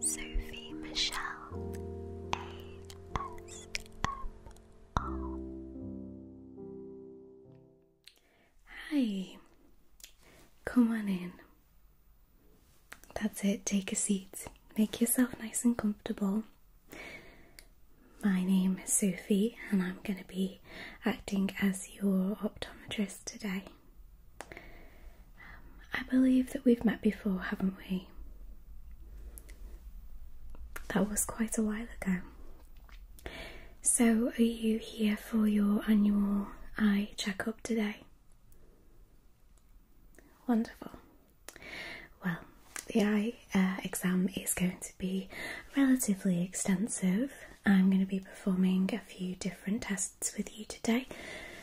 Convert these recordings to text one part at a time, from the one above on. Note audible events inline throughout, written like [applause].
Sophie Michelle ASMR. Hi, come on in. That's it, take a seat. Make yourself nice and comfortable. My name is Sophie, and I'm going to be acting as your optometrist today. Um, I believe that we've met before, haven't we? That was quite a while ago. So, are you here for your annual eye checkup today? Wonderful. Well, the eye uh, exam is going to be relatively extensive. I'm going to be performing a few different tests with you today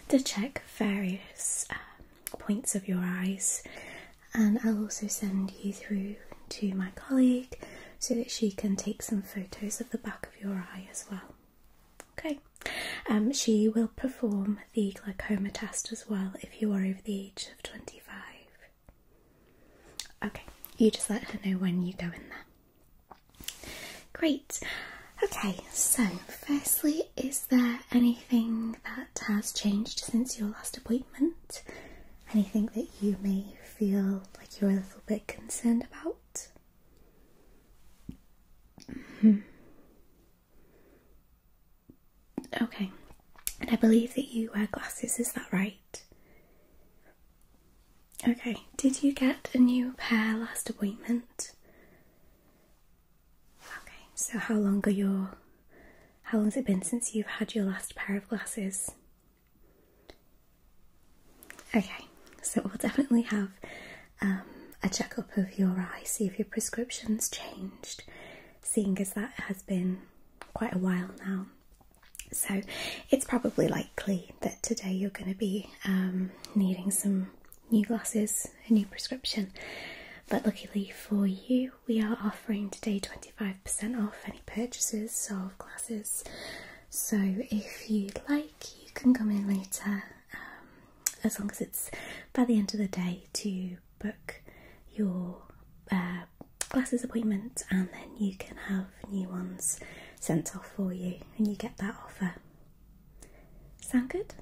to check various um, points of your eyes, and I'll also send you through to my colleague so that she can take some photos of the back of your eye as well. Okay, um, she will perform the glaucoma test as well if you are over the age of 25. Okay, you just let her know when you go in there. Great. Okay, so firstly, is there anything that has changed since your last appointment? Anything that you may feel like you're a little bit concerned about? -hmm. Okay, and I believe that you wear glasses, is that right? Okay, did you get a new pair last appointment? Okay, so how long are your how long's it been since you've had your last pair of glasses? Okay, so we'll definitely have um, a checkup of your eye, see if your prescription's changed, seeing as that has been quite a while now. So it's probably likely that today you're going to be um, needing some new glasses, a new prescription. But luckily for you, we are offering today 25% off any purchases of glasses. So if you'd like, you can come in later, um, as long as it's by the end of the day, to book your uh, glasses appointment and then you can have new ones sent off for you and you get that offer Sound good?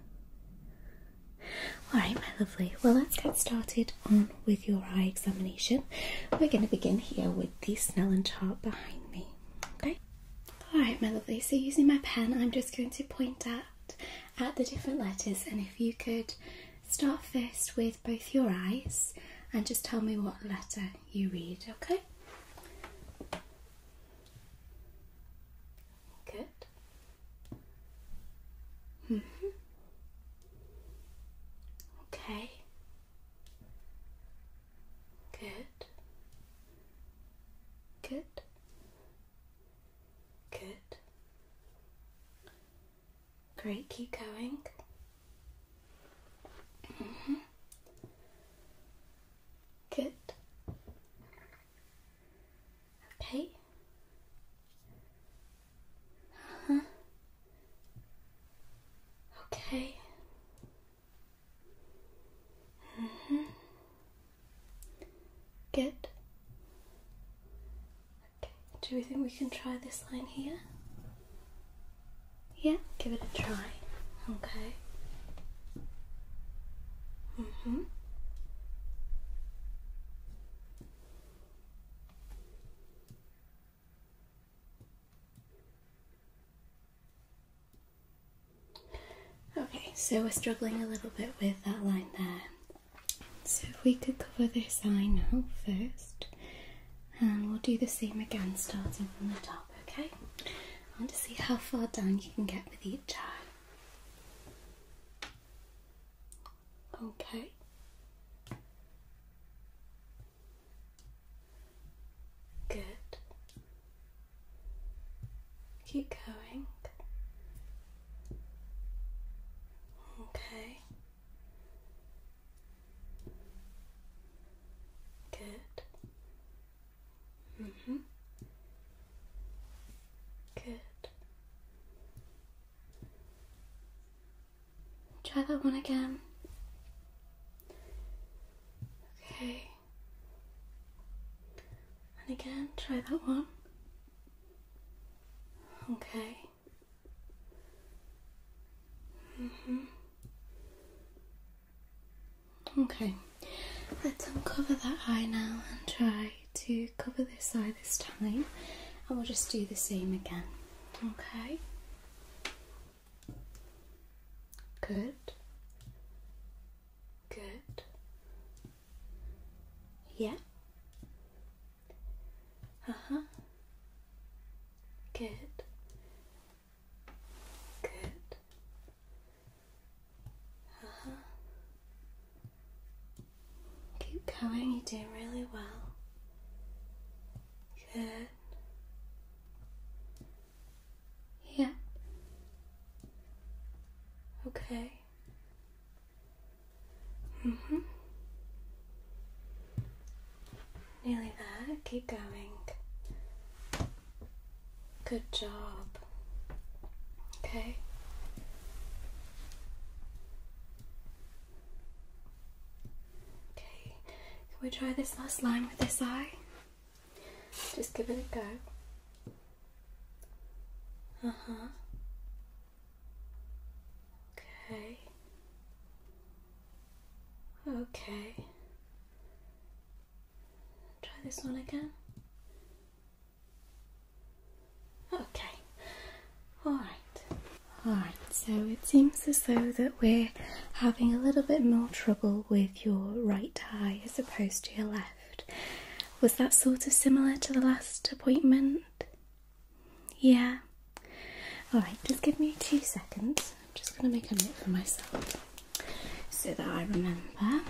Alright, my lovely. Well, let's get started on with your eye examination. We're going to begin here with the Snellen chart behind me. Okay? Alright, my lovely. So, using my pen, I'm just going to point out at the different letters, and if you could start first with both your eyes and just tell me what letter you read, okay? Good. Mm -hmm. Okay. Good. Good. Good. Great, keep going. Mm -hmm. Good. Okay. huh. Okay. Mm -hmm. Good. Okay. Do we think we can try this line here? Yeah, give it a try. Okay. Mm-hmm. Okay, so we're struggling a little bit with that line there. So if we could cover this eye now first, and we'll do the same again starting from the top, okay? I want to see how far down you can get with each eye. Okay. Good. Keep going. Okay. Good. Mm hmm. Good. Try that one again. Okay. And again, try that one. Okay. Mm hmm. Okay, let's uncover that eye now and try to cover this eye this time, and we'll just do the same again. Okay, good, good, yeah, uh huh, good. Good. Uh -huh. Keep going, you're doing really well. Good. Yeah. Okay. Mm hmm Nearly there. Keep going. Good job. Okay. Okay, can we try this last line with this eye? Just give it a go. Uh huh. Okay. Okay. Try this one again. Okay, alright. Alright, so it seems as though that we're having a little bit more trouble with your right eye as opposed to your left. Was that sort of similar to the last appointment? Yeah. Alright, just give me two seconds. I'm just going to make a note for myself so that I remember.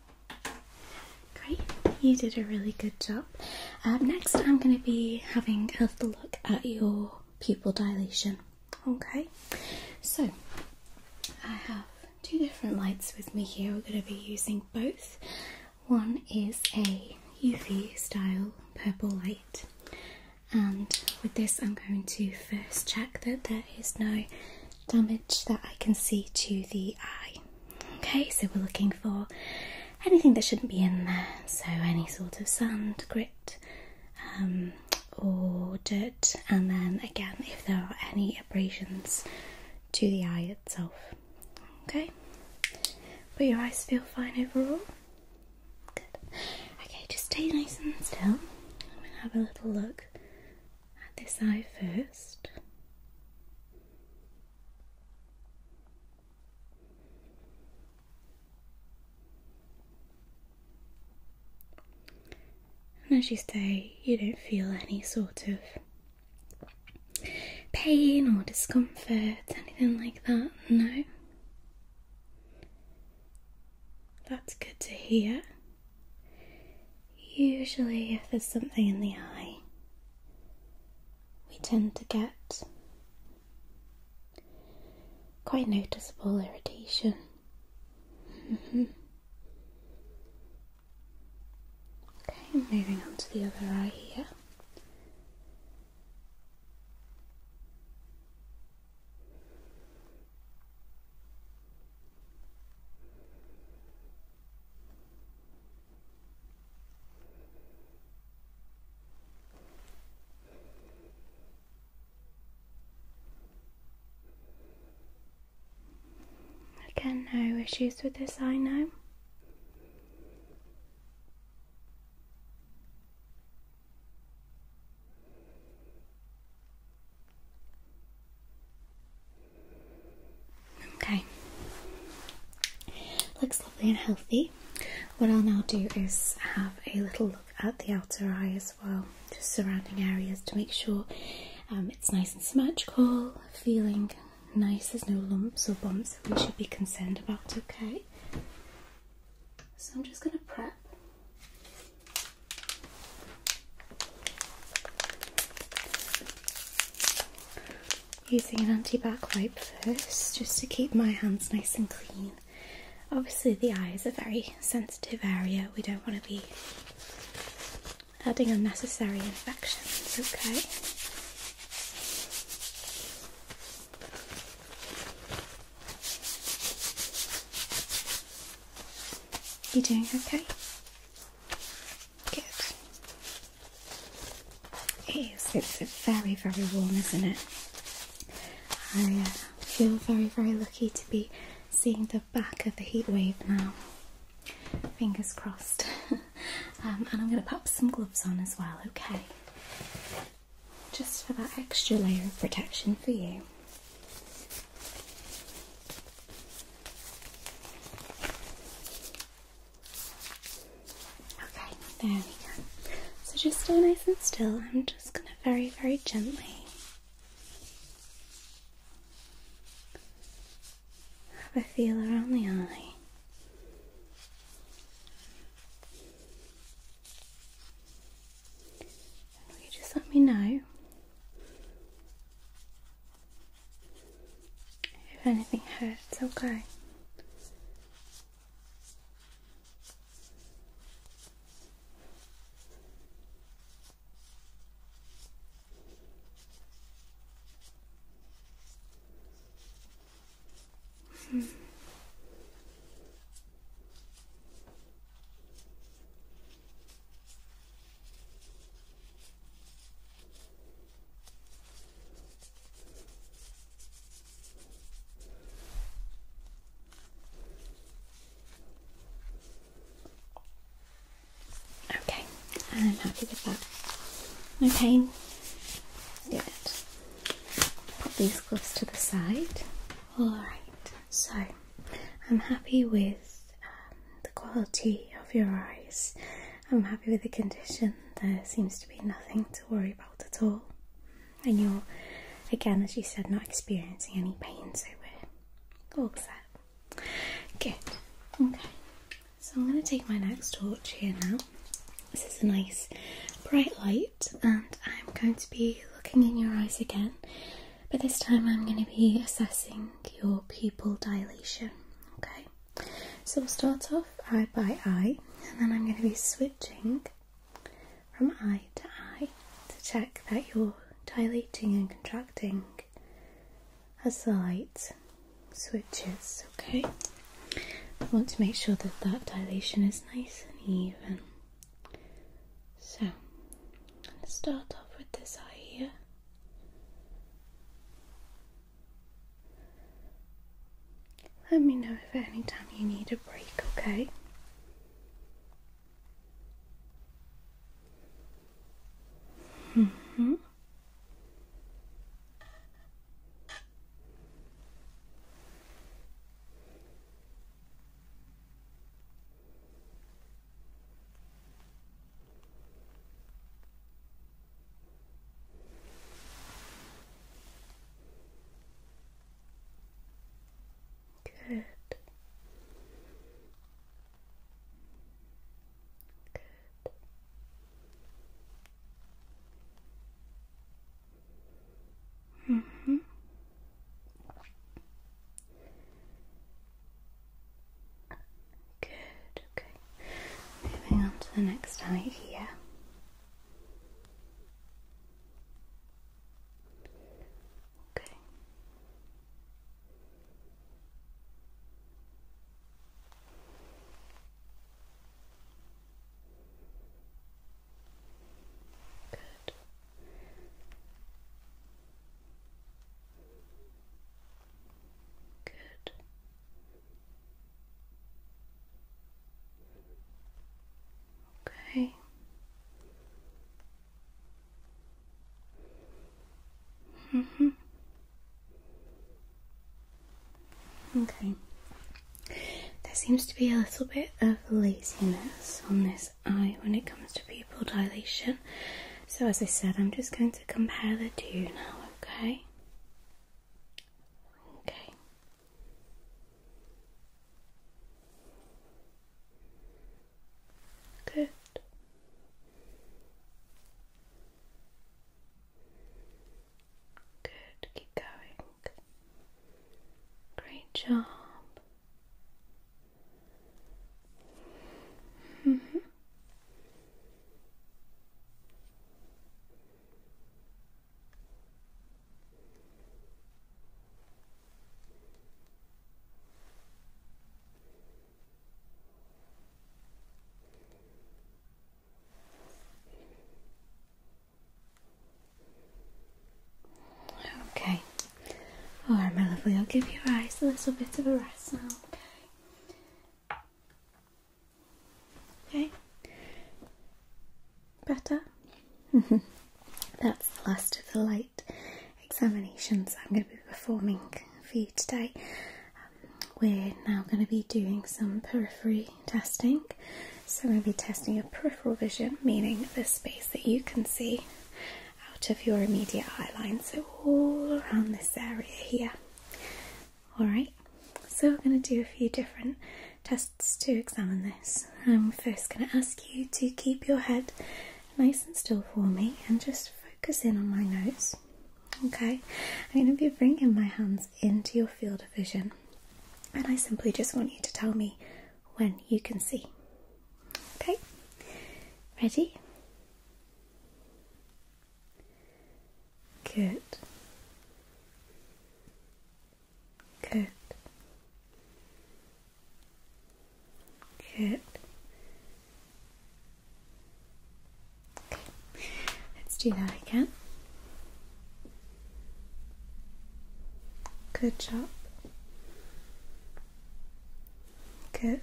Great, you did a really good job. Um, next, I'm going to be having a look at your pupil dilation. Okay, so I have two different lights with me here. We're going to be using both. One is a UV style purple light, and with this, I'm going to first check that there is no damage that I can see to the eye. Okay, so we're looking for anything that shouldn't be in there, so any sort of sand, grit, um, or dirt, and then again, if there are any abrasions to the eye itself. Okay, but your eyes feel fine overall. Good. Okay, just stay nice and still. I'm gonna have a little look at this eye first. And as you say, you don't feel any sort of pain or discomfort, anything like that, no? That's good to hear. Usually, if there's something in the eye, we tend to get quite noticeable irritation. Mm-hmm. okay, moving on to the other eye here. Again, no issues with this I know. Okay. Looks lovely and healthy. What I'll now do is have a little look at the outer eye as well, just surrounding areas to make sure um, it's nice and symmetrical, feeling nice, there's no lumps or bumps that we should be concerned about, okay? So I'm just going to prep using an anti-back wipe first just to keep my hands nice and clean. Obviously the eye is a very sensitive area. We don't want to be adding unnecessary infections, okay? You doing okay? Good. It is. It's very, very warm, isn't it? I uh, feel very, very lucky to be seeing the back of the heatwave now. Fingers crossed. [laughs] Um, and I'm going to pop some gloves on as well, okay? Just for that extra layer of protection for you. Okay, there we go. So just stay nice and still. I'm just going to very, very gently have a feel around the eye. will you just let me know if anything hurts, okay. [laughs] Okay, I'm happy with that. Okay, do it. Put these gloves to the side. Alright, so I'm happy with um, the quality of your eyes I'm happy with the condition. There seems to be nothing to worry about at all. And you're, again, as you said, not experiencing any pain, so we're all set. Good. Okay. So I'm going to take my next torch here now. This is a nice bright light, and I'm going to be looking in your eyes again, but this time I'm going to be assessing your pupil dilation. Okay so we'll start off eye by eye, and then I'm going to be switching from eye to eye to check that you're dilating and contracting as the light switches. Okay, I want to make sure that that dilation is nice and even. So, I'm start off with this eye here. Let me know if anytime you need a break, okay? hmm Good. Good. Mm -hmm. Good, okay. Moving on to the next eye here. Okay. Good. Good. Okay. Mm -hmm. Okay. There seems to be a little bit of laziness on this eye when it comes to pupil dilation. So, as I said, I'm just going to compare the two now, okay? Okay. Good. Good, keep going. Great job. -hmm. Okay. Alright, my lovely, I'll give your eyes a little bit of a rest now, okay? Okay. Better? [laughs] That's the last of the light examinations I'm going to be performing for you today. Um, we're now going to be doing some periphery testing. So I'm going to be testing your peripheral vision, meaning the space that you can see out of your immediate eye line. So all around this area here. Alright, so we're going to do a few different tests to examine this. I'm first going to ask you to keep your head nice and still for me and just focus in on my nose. Okay, I'm going to be bringing my hands into your field of vision and I simply just want you to tell me when you can see. Okay, ready? Kit. Kit. Kit. Okay. Let's do that again. Good job. Kit.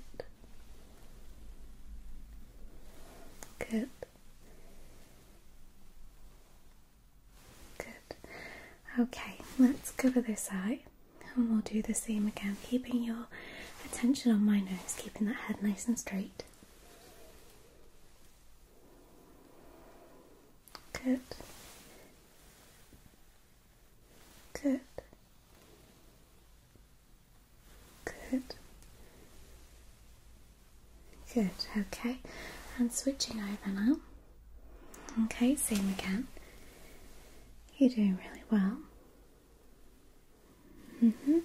Kit. Good. Okay, let's cover this eye and we'll do the same again, keeping your attention on my nose, keeping that head nice and straight. Good. Good. Good. Good, okay. And switching over now. Okay, same again. You're doing really well. Mm hmm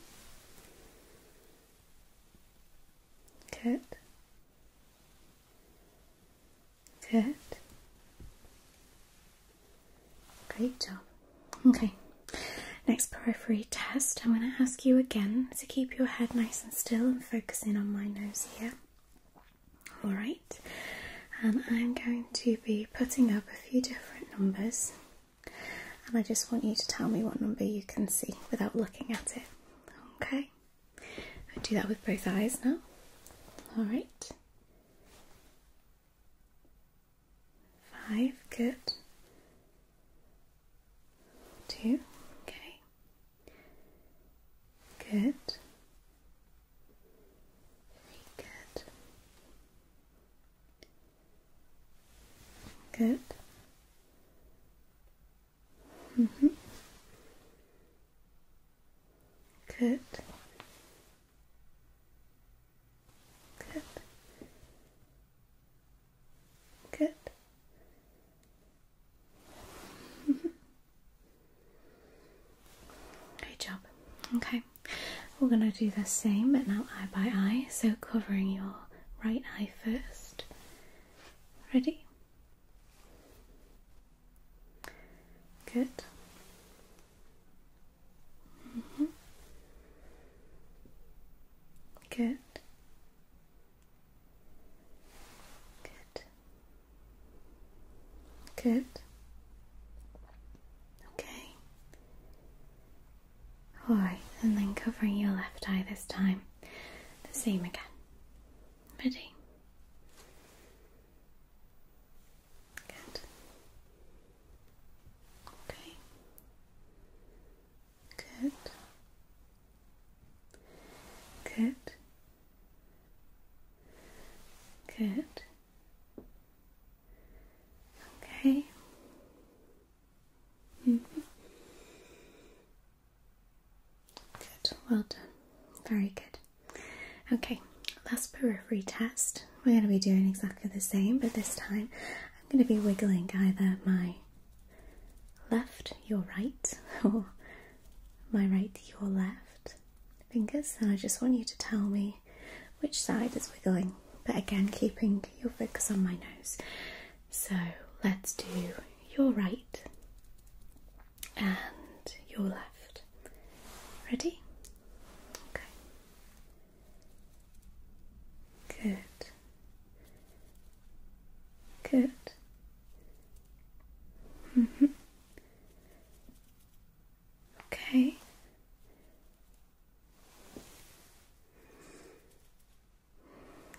Good. Good. Great job. Okay. Next periphery test, I'm going to ask you again to keep your head nice and still and focus in on my nose here. Alright, and I'm going to be putting up a few different numbers, and I just want you to tell me what number you can see without looking at it. Okay, do that with both eyes now. Alright, five, good. Two. Okay. Good. Very good. Good. Mm -hmm. Good. Good. Good. [laughs] Great job. Okay, we're going to do the same but now eye by eye, so covering your right eye first. Ready? Good. -hmm. Good. Good. Good. Okay. Alright, and then covering your left eye this time. The same again. Ready? Good. Okay. Good. Good. Good. Okay. -hmm. Good. Well done. Very good. Okay. Last periphery test. We're going to be doing exactly the same, but this time I'm going to be wiggling either my left, your right, [laughs] or my right, your left fingers. And I just want you to tell me which side is wiggling, but again, keeping your focus on my nose. So let's do your right and your left. Ready? Okay. Good. Good. Mm -hmm. Okay.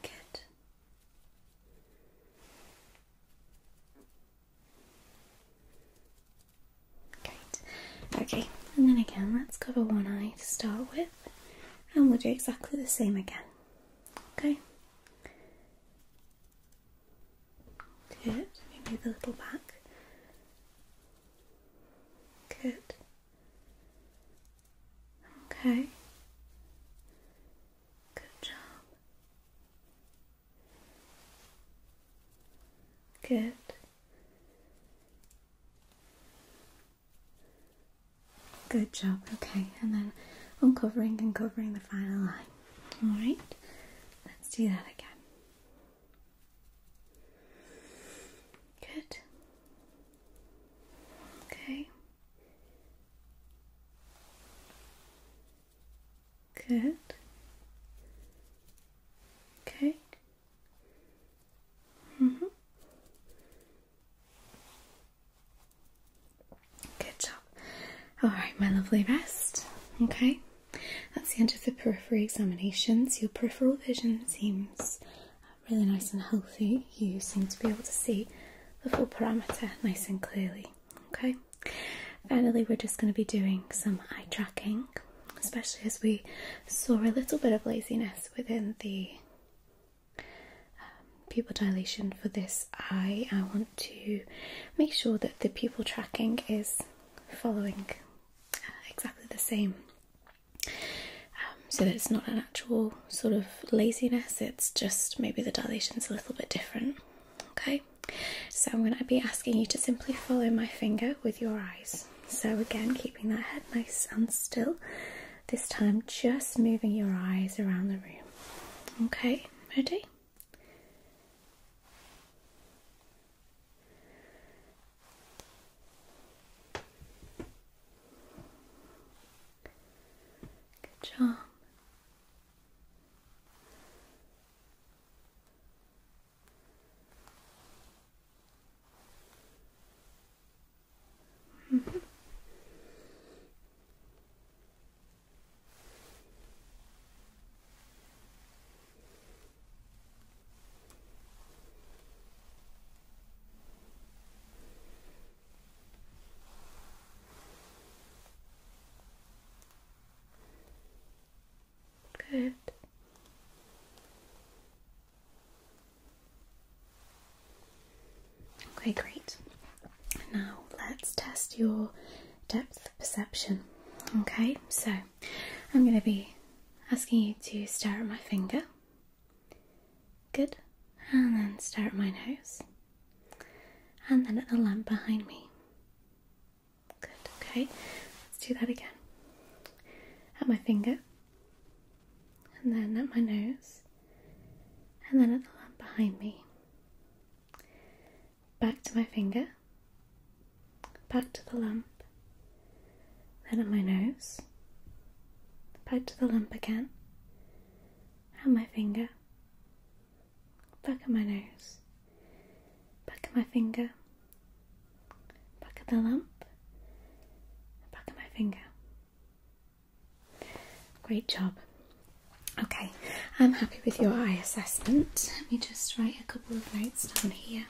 Good. Great. Okay, and then again, let's go for one eye to start with, and we'll do exactly the same again. Okay. Good. move a little back. Good. Okay. Good job. Good. Good job. Okay, and then uncovering and covering the final line. All right, let's do that again. Good. Okay. Good. Okay. Mhm. Mm Good job. All right, my lovely rest. Okay, that's the end of the periphery examinations. Your peripheral vision seems really nice and healthy. You seem to be able to see the full parameter nice and clearly. Okay, finally, we're just going to be doing some eye tracking, especially as we saw a little bit of laziness within the um, pupil dilation for this eye, I want to make sure that the pupil tracking is following uh, exactly the same um, so that it's not an actual sort of laziness, it's just maybe the dilation is a little bit different. Okay, so I'm going to be asking you to simply follow my finger with your eyes. So, again, keeping that head nice and still this time, just moving your eyes around the room. Okay, ready? Good job. Mm-hmm. Good. Okay, great. Now let's test your depth perception. Okay, so I'm going to be asking you to stare at my finger. Good. And then stare at my nose. And then at the lamp behind me. Good, okay. Let's do that again. At my finger. And then at my nose and then at the lamp behind me. Back to my finger, back to the lamp, then at my nose, back to the lamp again, and my finger, back at my nose, back at my finger, back at the lamp, back at my finger. Great job. Okay, I'm happy with your eye assessment. Let me just write a couple of notes down here.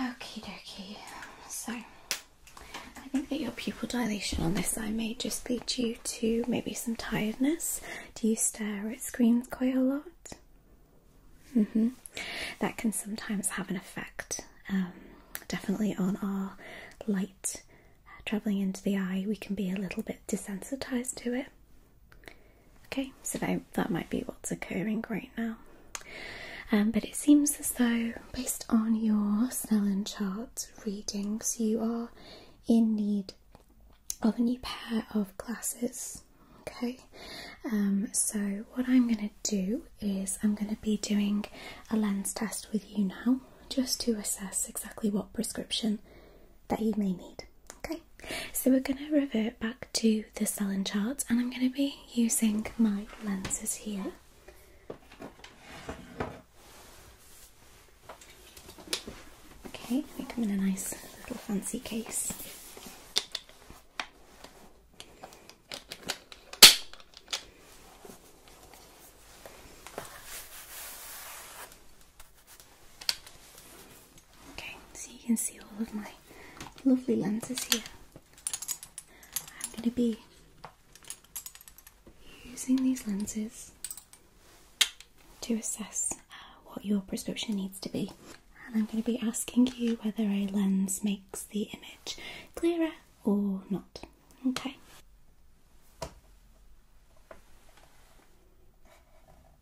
Okay, dokie. So, I think that your pupil dilation on this eye may just be due to maybe some tiredness. Do you stare at screens quite a lot? -hmm. That can sometimes have an effect, um, definitely on our light travelling into the eye. We can be a little bit desensitized to it. Okay, so that, that might be what's occurring right now. Um, but it seems as though, based on your Snellen chart readings, you are in need of a new pair of glasses. Okay, um, so what I'm going to do is I'm going to be doing a lens test with you now just to assess exactly what prescription that you may need. Okay, so we're going to revert back to the Sellen chart and I'm going to be using my lenses here. Okay, they come in a nice little fancy case. Okay, so you can see all of my lovely lenses here. I'm going to be using these lenses to assess what your prescription needs to be. And I'm going to be asking you whether a lens makes the image clearer or not. Okay.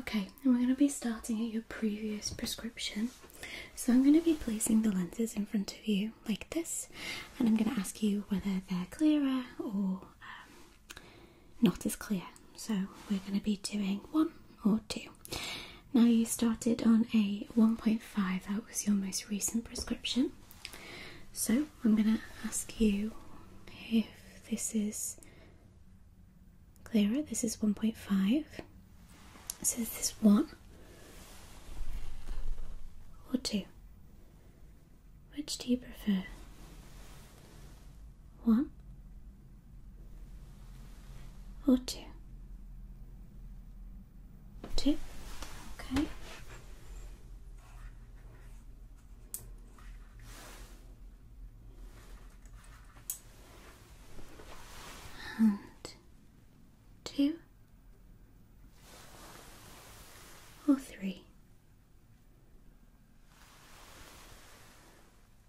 Okay, and we're going to be starting at your previous prescription. So I'm going to be placing the lenses in front of you like this, and I'm going to ask you whether they're clearer or um, not as clear. So we're going to be doing one or two. Now you started on a 1.5, that was your most recent prescription. So I'm going to ask you if this is clearer. This is 1.5. So is this 1 or 2. Which do you prefer? 1 or 2? two, okay. And two or three,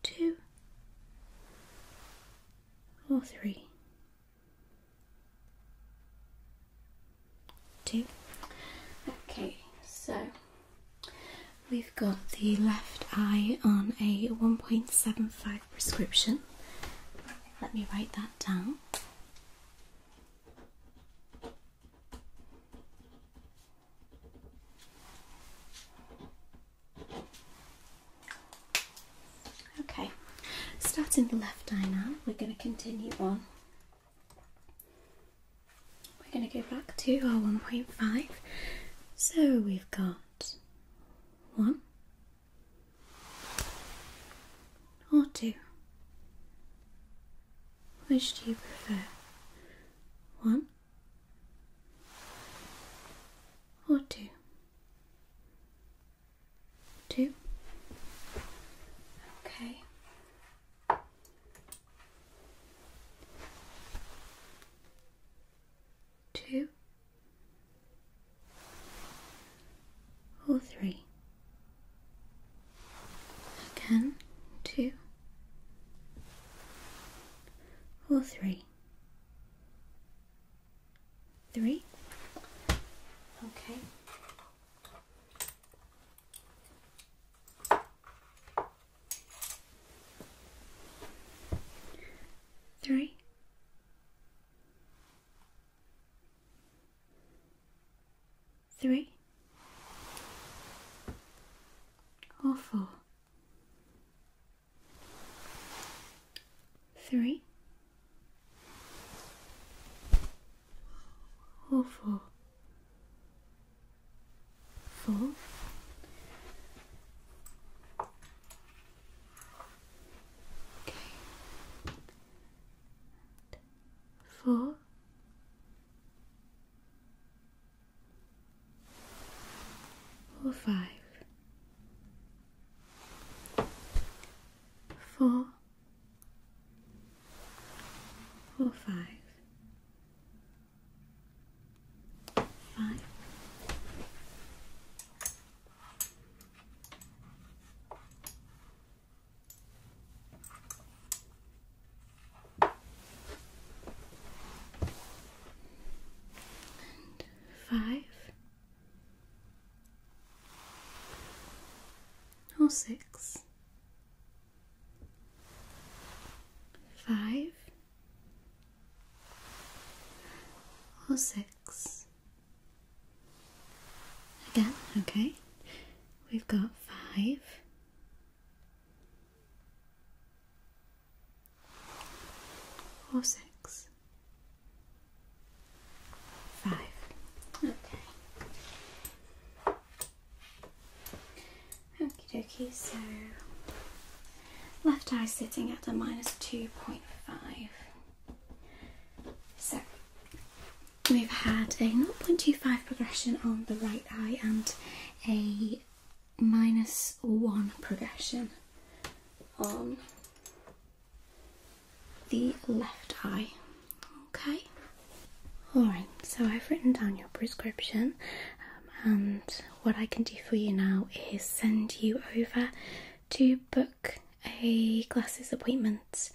two or three. Two. Okay, so we've got the left eye on a 1.75 prescription. Let me write that down. Okay, starting the left eye now, we're going to continue on we're going to go back to our 1.5. So we've got one or two. Which do you prefer? One or two? Two. Okay. Two. Or three. Again, two. Or three. Three. Okay. Three. Three or four, three, or oh, four. Four. Okay. Four or And five or Again, okay, we've got five, four six. Five. Okay. Okie dokie, so left eye sitting at a minus 2.5. So we've had a 0.25 progression on the right eye and a minus 1 progression on the left eye. Okay. All right. So I've written down your prescription, um, and what I can do for you now is send you over to book a glasses appointment.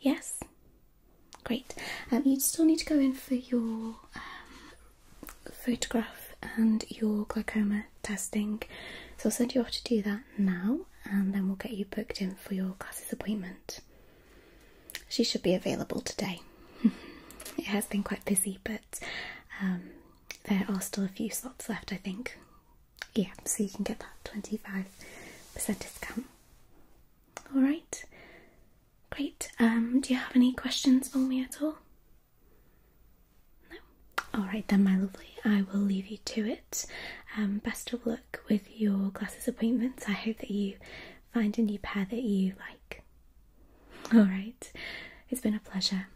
Yes. Great. Um, you still need to go in for your um, photograph and your glaucoma testing, so I'll send you off to do that now and then we'll get you booked in for your classes appointment. She should be available today. [laughs] it has been quite busy, but um, there are still a few slots left, I think. Yeah, so you can get that 25% discount. Alright, great. Um, do you have any questions for me at all? No? Alright then, my lovely, I will leave you to it. Um, best of luck with your glasses appointments. I hope that you find a new pair that you like. Oh. Alright, it's been a pleasure.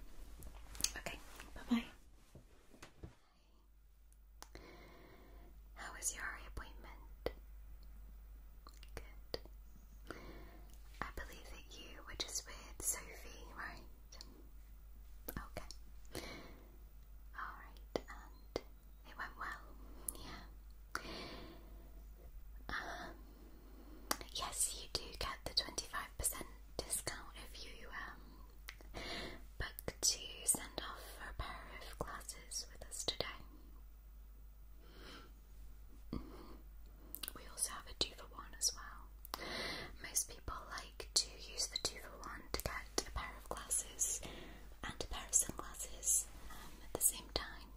Okay, bye bye. How was your appointment? Good. I believe that you were just with Sophie, right? Okay. Alright, it went well, yeah. Um, yes, you do get the 25% discount if you um, book to send off a pair of glasses with us today. We also have a two for one as well. Most people like to use the two for one to get a pair of glasses and a pair of sunglasses um, at the same time.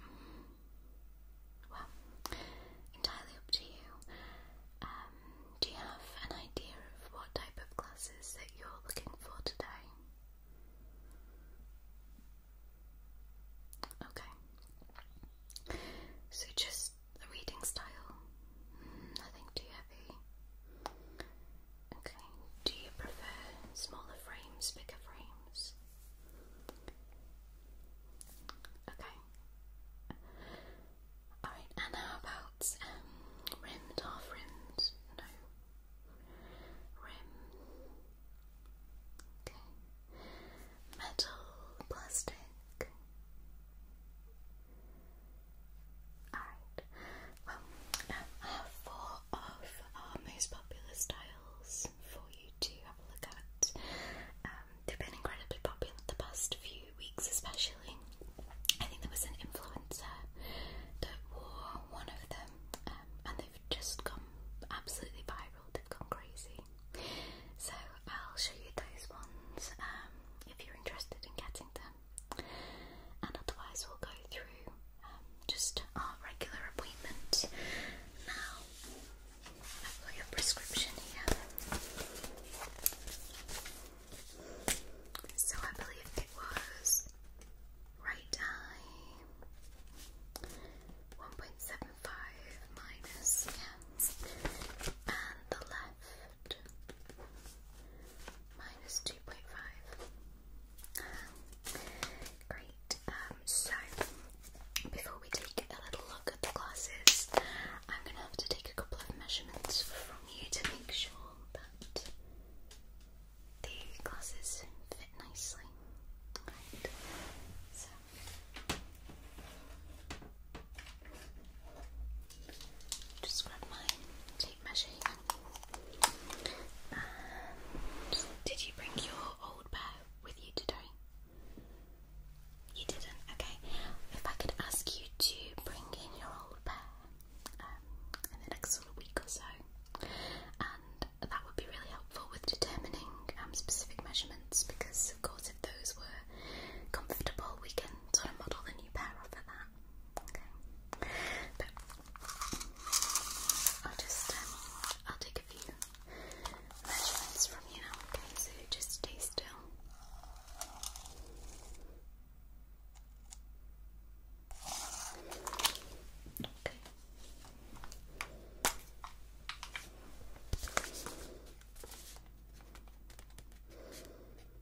Hmm. Well, entirely up to you. Um, do you have an idea of what type of glasses that you're looking for today? Okay. So just the reading style? Hmm, nothing too heavy. Okay, do you prefer smaller frames, bigger frames? Okay. Alright, and how about um, rimmed, half rimmed? No. Rim. Okay. Metal, plastic. Alright, well, um, four of our uh, most popular styles for you to have a look at. Um, they've been incredibly popular the past few weeks, especially. I think there was an influencer that wore one of them, um, and they've just gone absolutely viral, they've gone crazy. So I'll show you those ones if you're interested in getting them and otherwise we'll go through um, just our regular appointment. Now, I've got your prescription here. So I believe it was right eye 1.75 and the left 2.5. Great. Um, so, before we take a little look at the glasses, I'm going to have to take a couple of measurements from you to make sure that the glasses fit nicely. Right. So. Just grab my tape measure here. did you bring your old pair with you today? You didn't, okay. If I could ask you to bring in your old pair um, in the next week or so, and that would be really helpful with determining um, specific measurements because, of course, if those were comfortable, we can sort of model the new pair off of that. Okay. But I'll just um, I'll take a few measurements from you okay? So just stay still. Okay.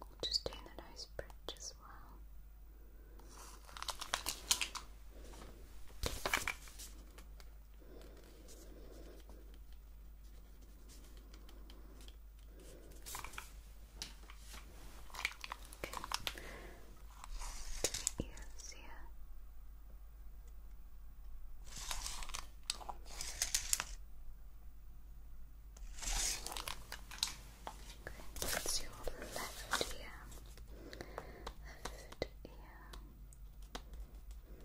We'll just do the nose bridge as well the ears Okay, that's your left ear. Left ear on the right.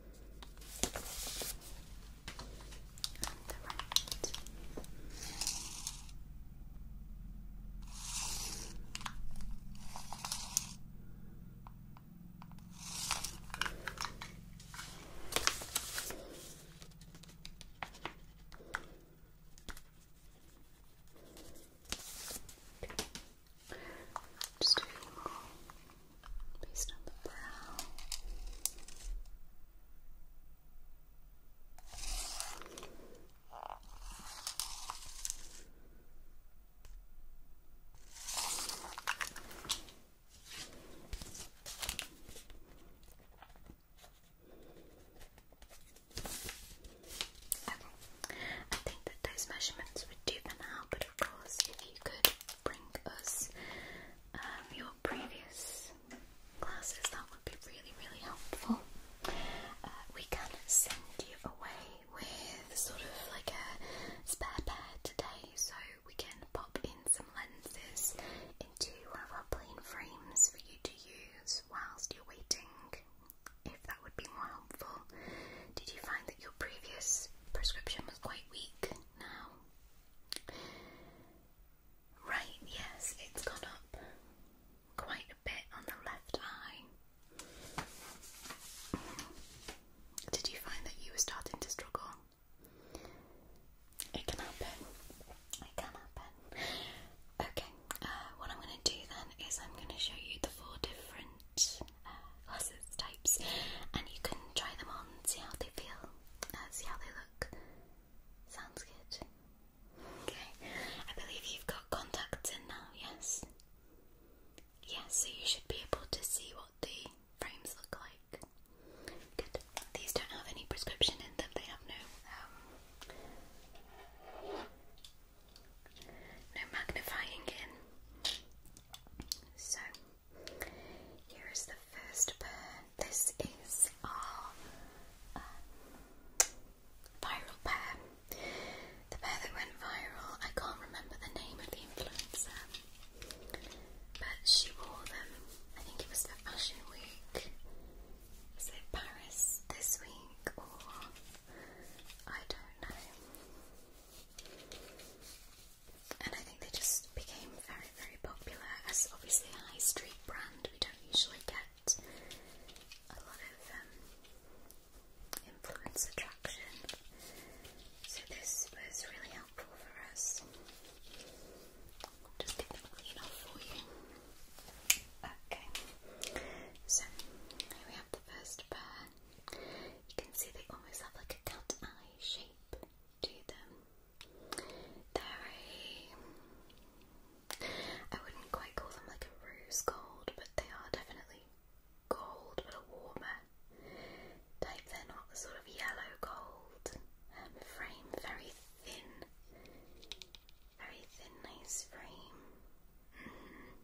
Okay. Just a few more based on the brow. Okay, I think that those measurements would do for now, but of course, if you could bring us um, your previous glasses, that would be really, really helpful. Uh, we can send you away with sort of like a spare pair today, so we can pop in some lenses into one of our plain frames for you to use whilst you're waiting if that would be more helpful. Did you find that your previous prescription was quite weak now? Right, yes, it's gone up quite a bit on the left eye. Did you find that you were starting to struggle? It can happen. It can happen. Okay, uh, what I'm going to do then is I'm going to show you the four different uh, types, and you can try them on, see how they feel, uh, see how they look. Sounds good. Okay, I believe you've got contacts in now, yes? Yes, so you should be able to see what the frames look like. Good. These don't have any prescription in them, they have no um, no magnifying in. So, here is the first pair. This is our uh, viral pair. The pair that went viral, I can't remember the name of the influencer, but she wore them. I think it was for Fashion Week. Was it Paris this week or I don't know? And I think they just became very, very popular as obviously a high street brand. We don't usually get a lot of um, influencer so this was really helpful for us. Just get them clean off for you. Okay, so here we have the first pair colour. You can see they almost have like a cat eye shape to them. They're a... I wouldn't quite call them like a rose gold, but they are definitely gold, but a warmer type. They're not the sort of yellow gold um, frame, very thin, very thin, nice frame. Mm.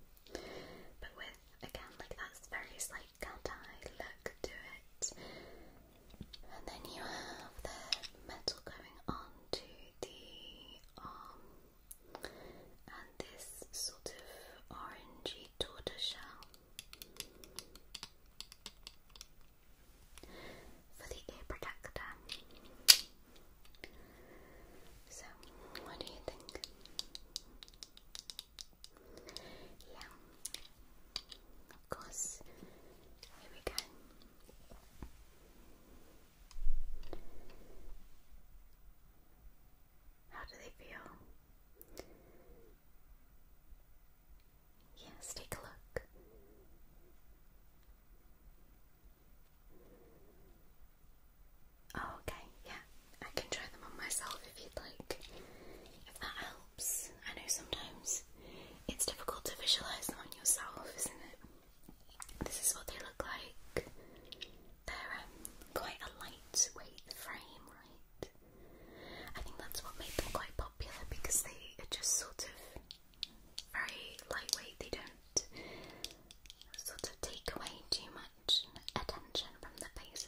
But with, again, like that's very slight cat eye look to it. And then you have the metal going on the arm and this sort of orangey tortoise For the ear protector. So, what do you think? Yeah, of course. Here we go. How do they feel? Yes, take a look. Oh, okay, yeah. I can try them on myself if you'd like. If that helps. I know sometimes it's difficult to visualise them on yourself, isn't it? This is what they look like. They're um, quite a lightweight frame, right? I think that's what made them quite popular because they are just sort of very lightweight. They don't sort of take away too much attention from the face,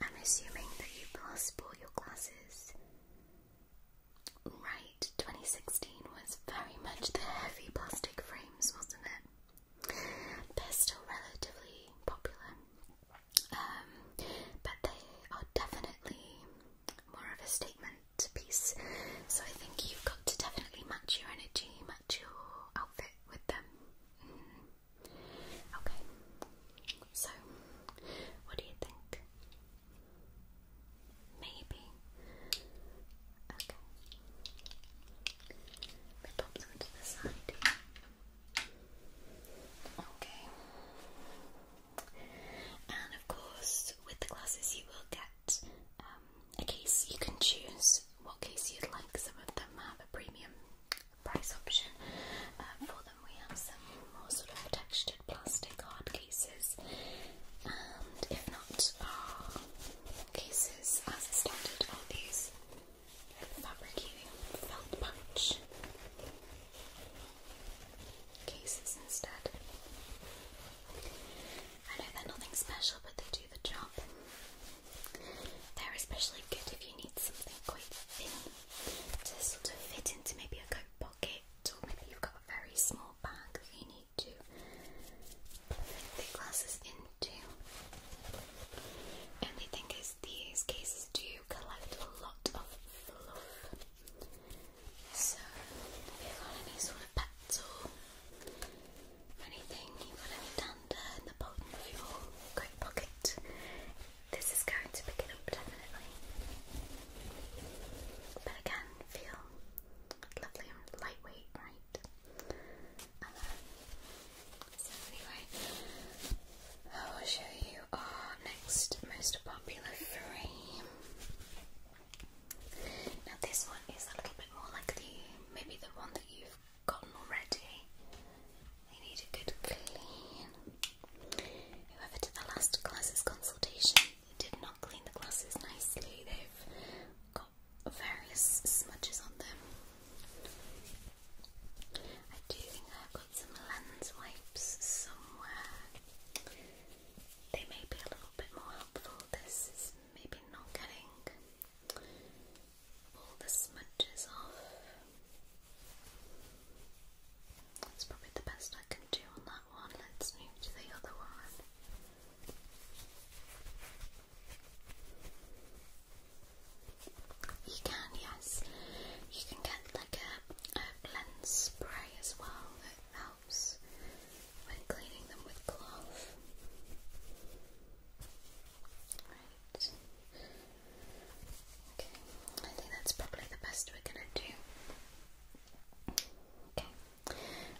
I'm assuming that you passed all your glasses. Right, 2016 was very much the heavy plastic frames, wasn't it? They're still relatively popular, um, but they are definitely more of a statement piece. So I think you've got to definitely match your energy, match your outfit with them. Mm-hmm. Okay, so what do you think? Maybe. Okay. We pop them to the side. Okay. And of course, with the glasses, you will get um, a case you can choose what case you'd like. Some of them have a premium price option. Um, for them, we have some more sort of textured plastic hard cases, and if not, our cases as a standard are these fabricating felt pouch cases instead. I know they're nothing special, but they do the job. They're especially good if you need something quite thin to sort of fit into maybe a coat pocket, or maybe you've got a very small bag that you need to fit the glasses into. Only thing is, these cases do collect a lot of fluff. So, if you got any sort of pets or anything you've got any dander the bottom of your coat pocket, this is going to pick it up definitely. But again, feel lovely and lightweight, right? Uh-huh. so anyway, I will show you our next most popular frame. Now this one is a little bit bit more like the maybe the one that you've gotten already. They need a good clean. Whoever did the last glasses consultation did not clean the glasses nicely. They've got various smudges on them. I do think I've got some lens wipes somewhere. They may be a little bit more helpful. This is maybe not getting pull the smudges off. That's probably the best I can do on that one. Let's move to the other one. You can, yes. You can get like a, a lens spray as well that helps when cleaning them with cloth. Right. Okay, I think that's probably the best we're gonna do. Okay,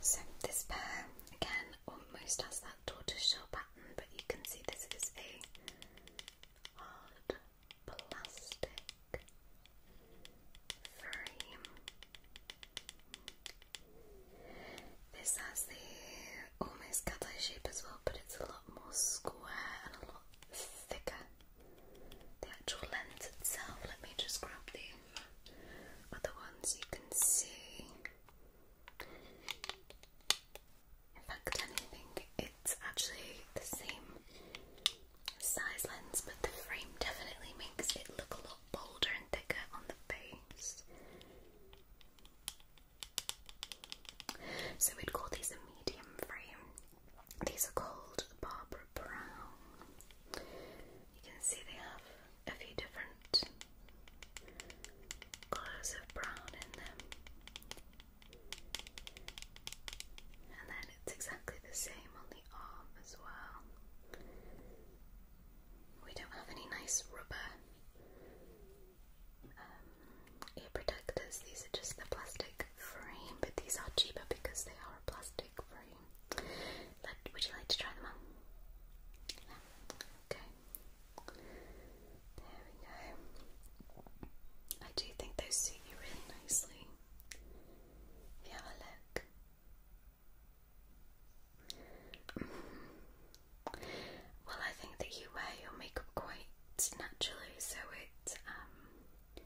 so this pair again almost has that tortoiseshell pattern, but you can see this is a hard plastic frame. This has the almost cat eye shape as well, but it's a lot more square and a lot thicker. The actual lens itself, let me just grab the other ones you can see. In fact, anything, it's actually the same size lens, but the frame definitely makes it look a lot bolder and thicker on the face. So we'd call these a medium frame. These are called the Barbara Brown. You can see they have a few different colours of brown in them. And then it's exactly the same on the arm as well. We don't have any nice rubber um, ear protectors. These are just the plastic frame, but these are cheaper because they are plastic frame. would you like to try them on? Okay. There we go. I do think those suit you really nicely. have a look. Well, I think that you wear your makeup quite naturally, so it um,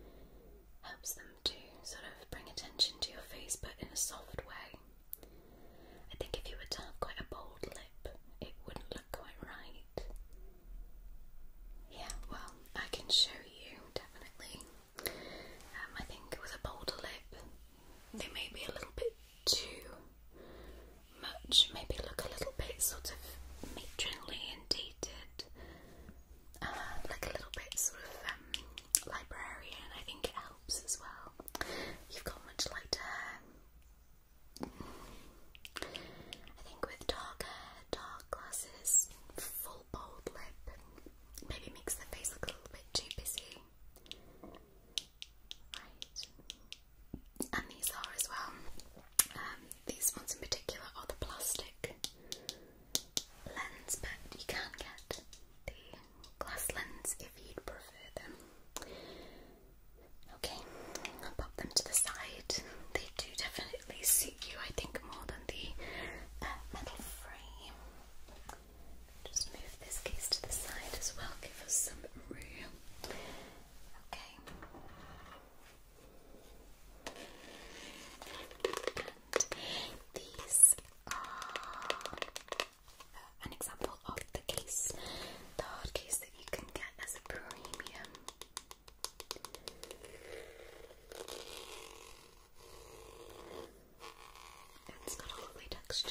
helps them to sort of bring attention to your face, but in a soft way. I think if you were to have quite a bold lip, it wouldn't look quite right. Yeah, well, I can show you definitely. Um, I think with a bolder lip, they may be a little bit too much, maybe look a little bit sort of matronly and dated, uh, like a little bit sort of um, librarian. I think it helps as well. You've got much lighter hair. I think with dark hair, dark glasses, full bold lip, maybe makes the face look a little bit too busy. Right. And these are as well. Um, these ones in particular are the plastic lens, but you can get the glass lens if you'd prefer them. Okay, I'll pop them to the side. They do definitely suit you, I think, more than the uh, metal frame. Just move this case to the side as well, give us some room. Okay. these are uh, an example of the case, the hard case that you can get as a premium. It's got a lovely texture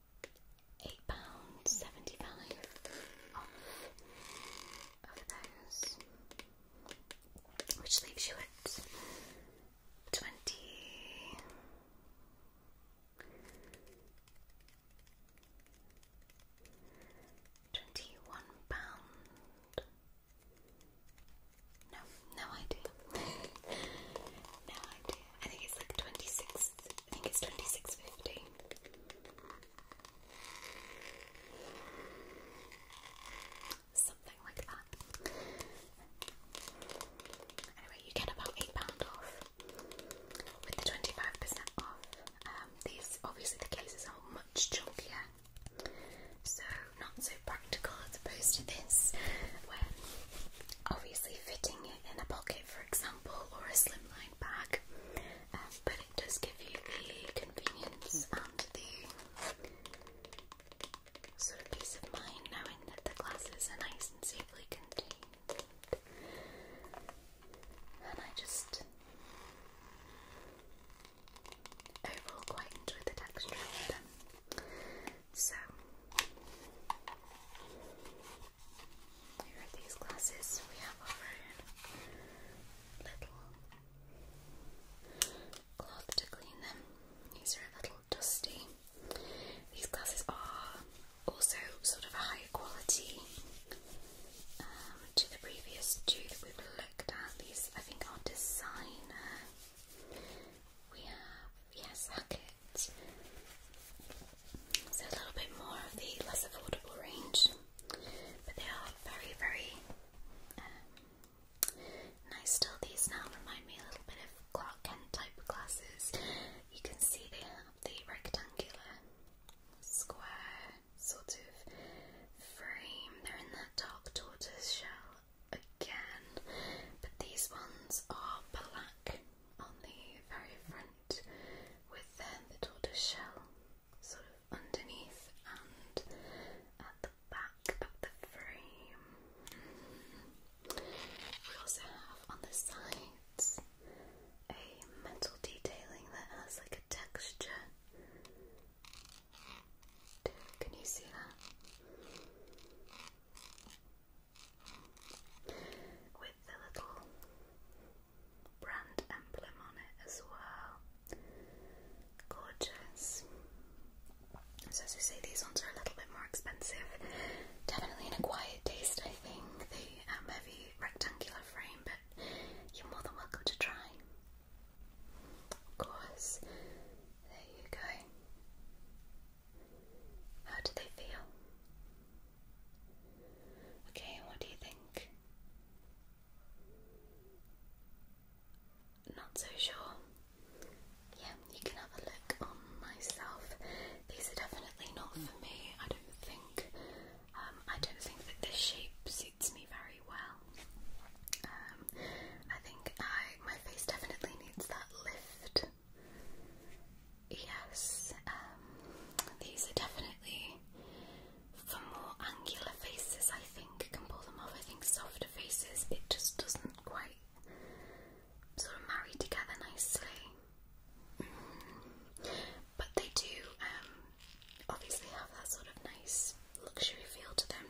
£8.75 of those, which leaves you at 20 21 pound no, no idea. [laughs] no idea. I think it's like 26, I think it's 26.50. Something like that. Anyway, you get about £8 off with the 25% off. Um, these, obviously the cases are much chunkier, so not so practical as opposed to this, when obviously fitting it in a pocket for example, or a slimline outline um, but it does give you the convenience and the sort of peace of mind knowing that the glasses are nice and safely contained. And I just overall quite enjoy the texture of them. So here are these glasses we have over little cloth to clean them. These are a little dusty. These glasses are also sort of a higher quality um, to the previous two that we've looked at. These I think are designer. We have yes, Hackett. So a little bit more of the less affordable range, but they are very, very um, nice. Still, these now remind me a little bit of Clark Kent type glasses. You can see they have the rectangular, square sort of frame. They're in that dark tortoise shell again, but these ones are black on the very front with then the tortoise shell sort of underneath and at the back of the frame. We also have on the sides a metal detailing that has like a texture. Can you see that? With the little brand emblem on it as well. Gorgeous. So as I say, these ones are a little bit more expensive. Definitely in a quiet taste, I think. The um, heavy rectangular frame, but you're more than welcome to try. Of course. There you go. How do they feel? Okay, what do you think? Not so sure. Yeah, you can have a look on myself. These are definitely not for me. I don't think. Um, I don't think this shape suits me very well. Um, I think I my face definitely needs that lift. Yes, um, these are definitely for more angular faces. I think can pull them off. I think softer faces, it just doesn't quite sort of marry together nicely. Mm. But they do um, obviously have that sort of nice luxury feel to them.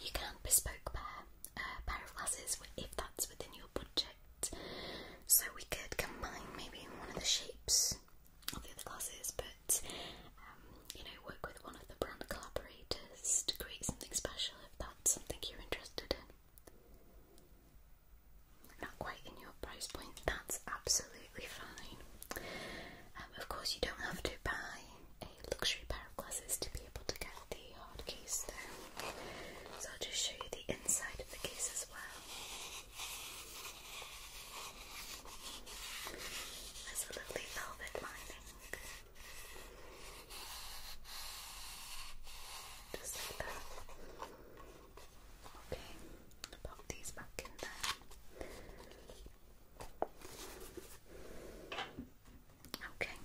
You can bespoke a uh, pair of glasses if that's within your budget. So we could combine maybe one of the shapes of the other classes, but um, you know, work with one of the brand collaborators to create something special if that's something you're interested in. Not quite in your price point, that's absolutely fine. Um, of course, you don't have to buy a luxury pair of glasses to be able to get the hard case, though. So I'll just show you the inside of the case as well. That's a lovely velvet lining. Just like that. Okay, pop these back in there. Okay,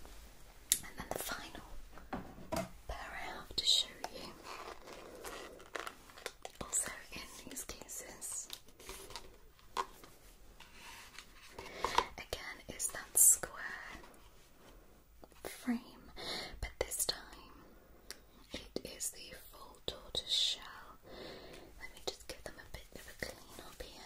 and then the final pair I have to show you. Also, in these cases, again, is that square frame, but this time it is the full tortoise shell. Let me just give them a bit of a clean up here.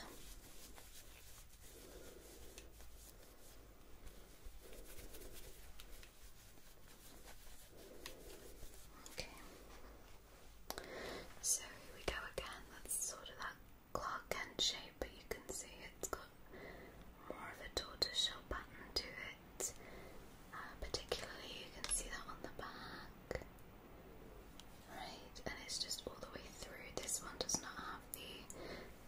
Okay. So here we go again. That's sort of that clock end shape, but you can see it's got more of a tortoiseshell pattern to it. Uh, particularly, you can see that on the back. Right, and it's just all the way through. This one does not have the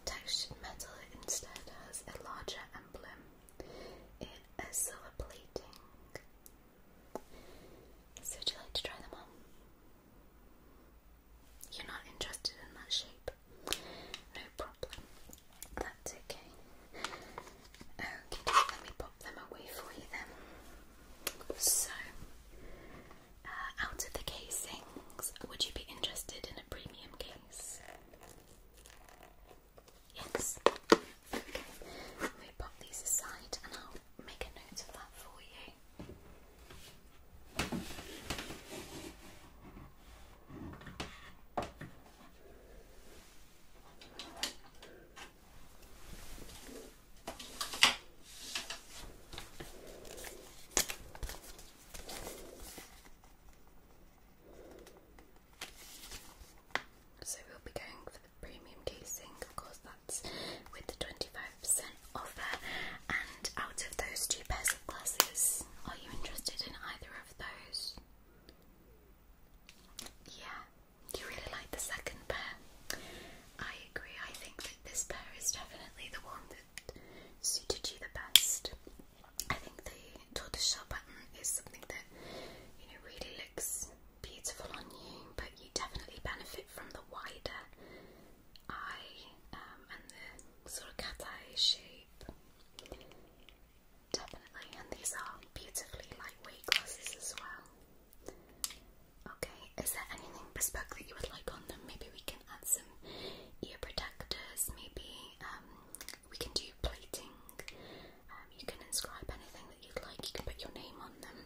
textured metal, it instead has a larger emblem in a silver So would you like to try them on? You're not interested in that shape? No problem. That's okay. Okay, let me pop them away for you then. So, uh, out of the casings, would you be interested in a premium case? Yes. Okay. We pop these aside and I'll make a note of that for you. So we'll be going for the premium casing, of course that's with the 25% offer and out of those two pairs of glasses, are you interested in either of those? Yeah, you really like the second pair. I agree, I think that this pair is definitely the one that suited you the best. I think the tortoiseshell pattern is something that you know really looks beautiful on you, but you definitely benefit from the wider eye um, and the sort of cat eye shape. Definitely, and these are beautifully lightweight glasses as well. Okay, is there anything bespoke that you would like on them? Maybe we can add some ear protectors, maybe um, we can do plating. Um, you can inscribe anything that you'd like. You can put your name on them.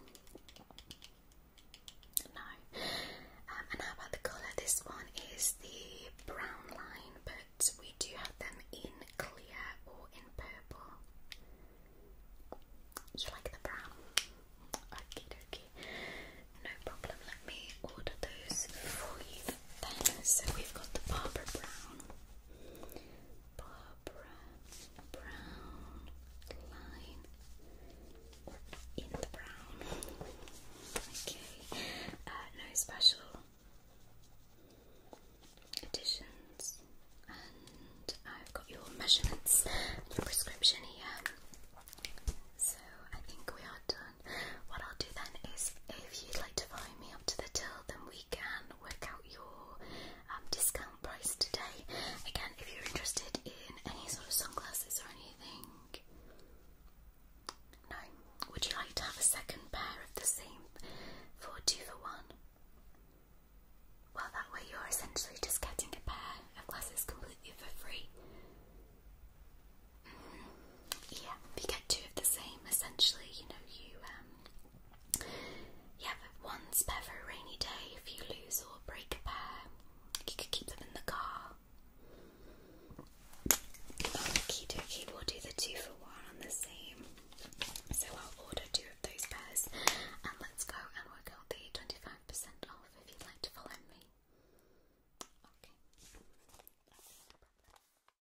No. Um, and how about the colour? This one is the brown line, but we do have them in clear or in purple. You like the brown? Okay, dokie. No problem. Let me order those for you then so we've got the Barbara Brown. Barbara Brown line in the brown. Okay. Uh, no special additions. And I've got your measurements your prescription here. So I think we are done. What I'll do then is if you'd like to follow me up to the till then we can work out your um, discount price today. Again, if you're interested in any sort of sunglasses or anything, no. Would you like to have a second pair of the same for two for one? Well, that way you're essentially just getting a pair of glasses completely for free. Mm-hmm yeah, you get two of the same essentially. You know, you um, you have one spare for a rainy day if you lose or break a pair. You could keep them in the car. Okie dokie, we'll do the two for one on the same. So I'll order two of those pairs and let's go and work out the 25% off if you'd like to follow me. Okay.